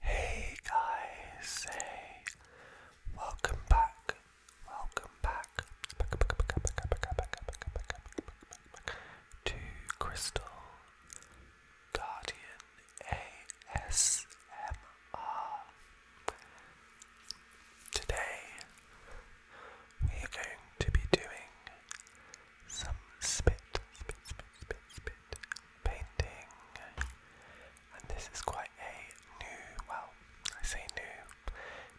Hey guys, welcome back, welcome back, to Crystal Guardian ASMR. Today we are going to be doing some spit painted painting. And this is quite a new, well, I say new,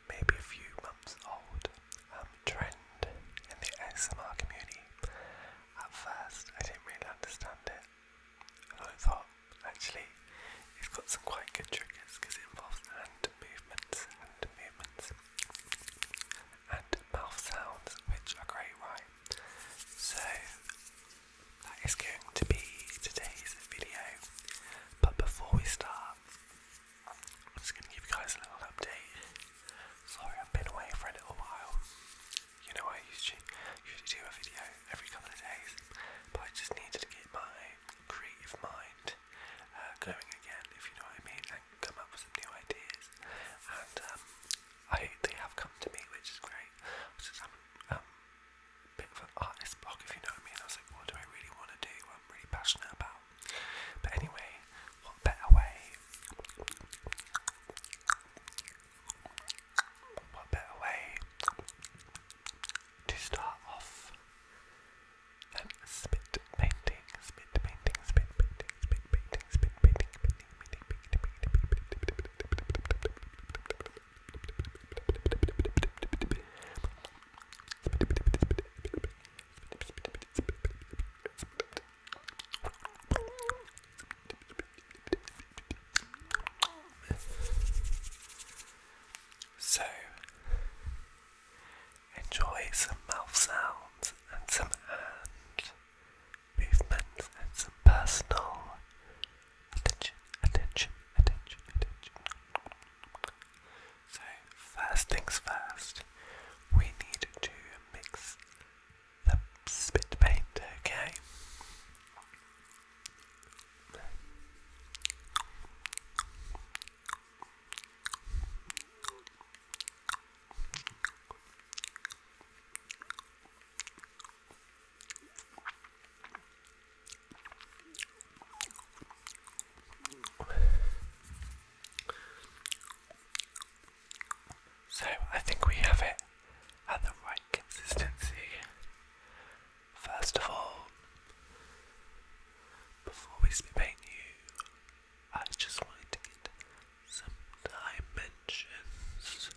maybe a few months old um, trend in the ASMR community. At first, I didn't really understand it, I thought actually it's got some quite good triggers because it involves hand movements, hand movements, and mouth sounds, which are great, right? So that is going to be today's video. But before we start, I'm just going to give you guys a little update. Sorry, I've been away for a little while. You know, I used to do a video every couple of days, but I just needed to get my creative mind uh, going again, if you know what I mean, and come up with some new ideas. And um, I they have come to me, which is great. I was just having um, a um, bit of an artist block, if you know what I mean. I was like, what do I really want to do? What I'm really passionate about. But anyway, what better way? What better way to start off than spit painting, spit painting, spit painting, spit painting, spit painting, spit so, enjoy some mouth sounds and some hands movements and some personal attention, attention, attention, attention. So, first things first, we need to mix the spit paint, okay? Okay, so I think we have it at the right consistency. First of all, before we spit you, I just wanted to some dimensions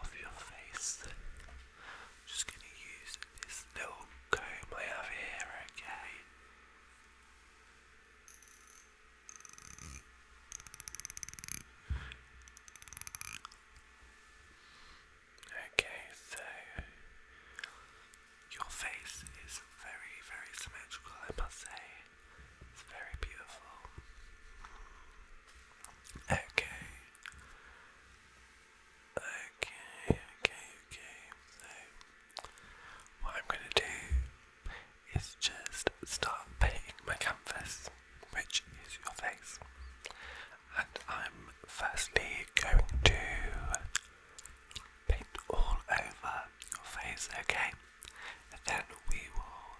of your face. I'm just going to use this little comb I have here, okay? Okay, so your face is very, very symmetrical, I must say. It's very beautiful. Okay. Okay, okay, okay. So, what I'm going to do is just start painting my canvas, which is your face. And I'm firstly going to paint all over your face, okay? then we will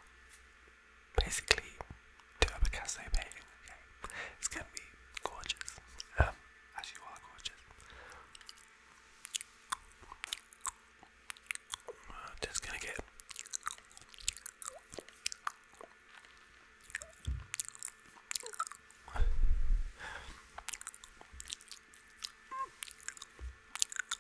basically do a Picasso painting. Okay, it's gonna be gorgeous. Um, as you are gorgeous. just gonna get.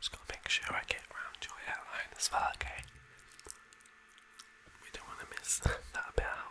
Just gotta make sure I get round your hairline as well, okay? We don't want to miss that bit out.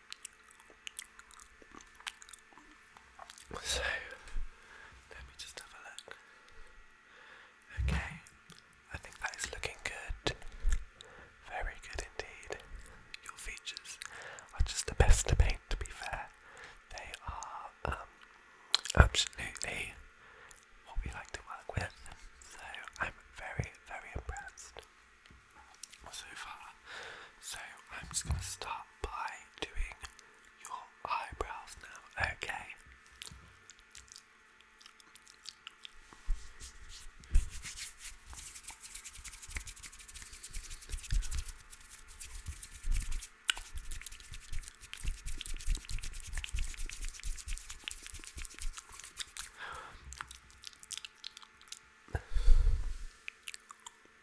So let me just have a look. Okay, I think that is looking good. Very good indeed. Your features are just the best to paint, to be fair. They are um, absolutely what we like to work with. So I'm very, very impressed so far. So I'm just gonna start by doing your eyebrows now, okay?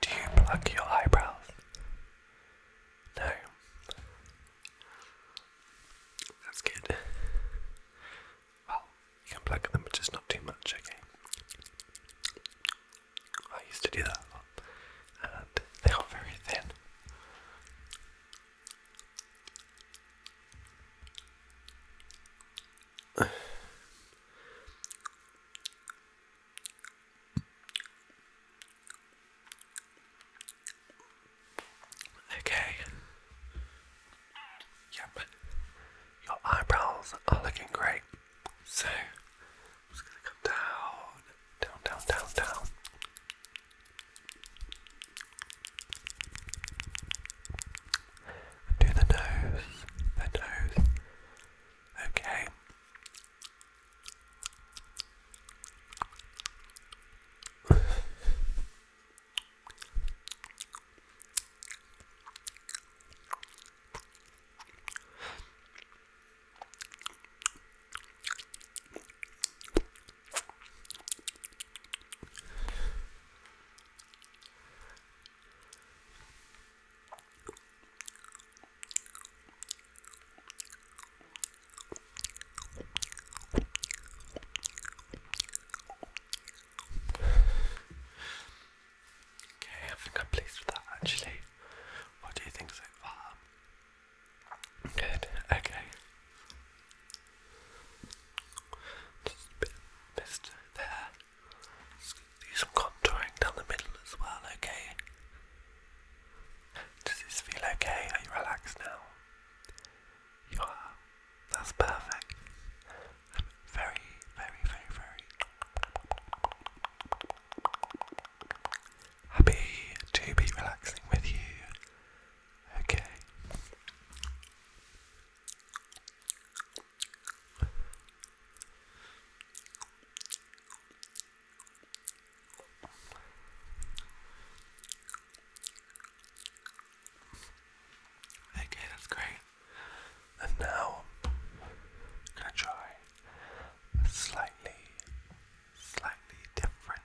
Do you pluck your eyebrows? No. That's good. Well, you can pluck them, but just not too much, okay? I used to do that a lot, and they are very thin. Okay. Yep. Your eyebrows are looking great. So, just gonna come down, down, down, down, down. Do the nose, the nose. Okay. Okay, I think I'm pleased with that actually. What do you think so far? Good, okay. Just a bit of mist there. do some contouring down the middle as well, okay? Does this feel okay? Are you relaxed now? You are. That's perfect. I'm very, very, very, very happy to be relaxing with you Okay. Okay, that's great. And now I'm gonna try a slightly, slightly different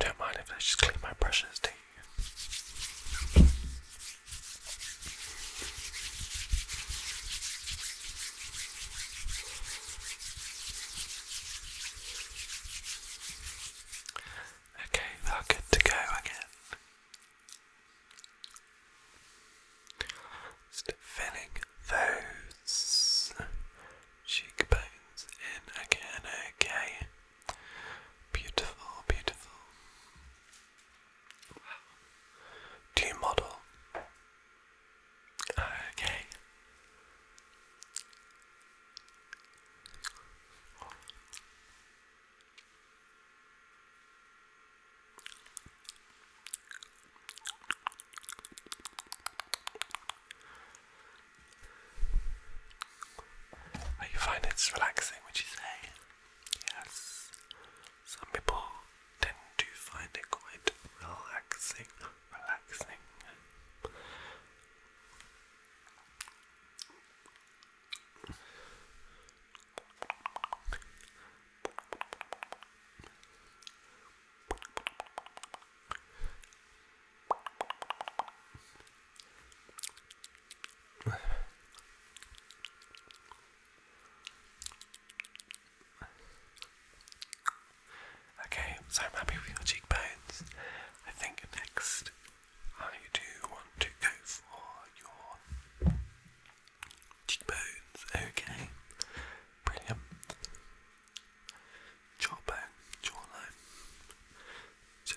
You don't mind if I just clean my brushes, do you? Okay, we are good to go again. Just those cheekbones in again, okay. Beautiful, beautiful. Do you model? Okay. Oh, you find it's relaxing, would you say? Yes. Some people tend to find it quite relaxing. Relaxing. Okay, so I'm happy with your cheekbones. I think next I do want to go for your cheekbones. Okay, brilliant. Jawbone, jawline. So,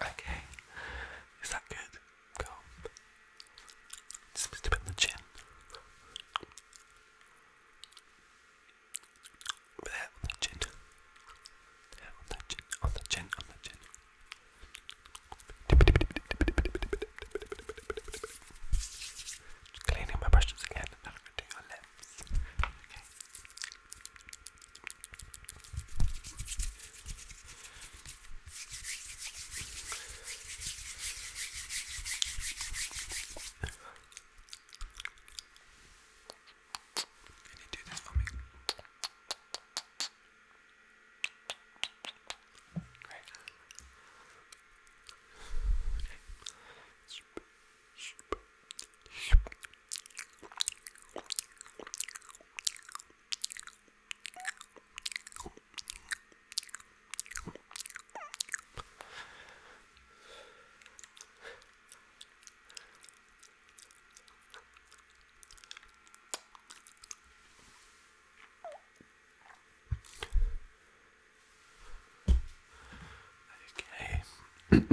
Okay, is that good? Go. Just a bit on the chin. With the on the chin. on the chin, on the chin, on the chin. Just cleaning my brushes again, and I'm going your lips. Okay. Can you do this for me? Great. Okay.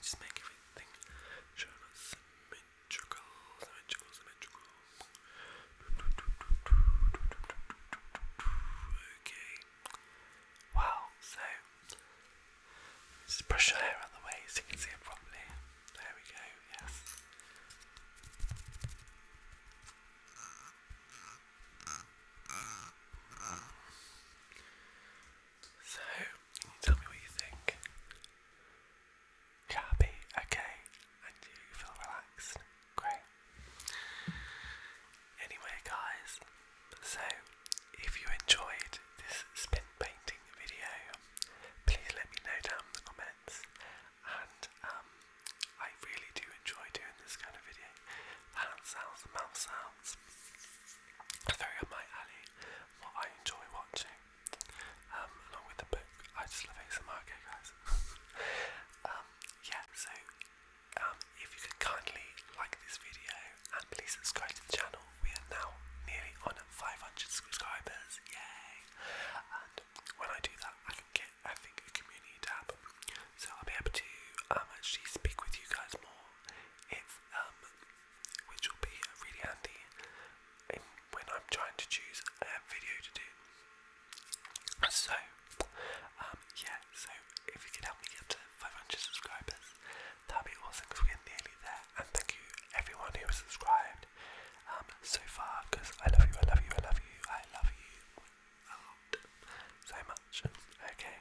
Just make everything show up symmetrical, symmetrical, symmetrical. Okay. Wow, so just brush your hair out of the way so you can see it properly. There we go, yes. So, can you tell me what you think? happy? Okay. And you feel relaxed? Great. Anyway, guys, so if you enjoyed this spin painting video, please let me know down in the comments. And um, I really do enjoy doing this kind of video. hand sounds, mouth sounds, very up my alley. What I enjoy watching, um, along with the book. I just love ASMR, okay, guys. um, yeah. So um, if you could kindly like this video and please subscribe to the channel. We are now nearly on 500 subscribers, yay! And when I do that, I can get, I think, a community tab, so I'll be able to um, actually speak with you guys more. if, um, which will be really handy when I'm trying to choose a video to do. So, um, yeah, so if you could help me get to 500 subscribers, that'd be awesome we're nearly there. And thank you everyone who has subscribed um, so far I love you, I love you, I love you, I love you so much. Okay,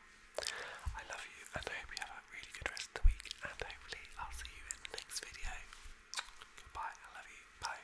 I love you and I hope you have a really good rest of the week and hopefully I'll see you in the next video. Goodbye, I love you, bye.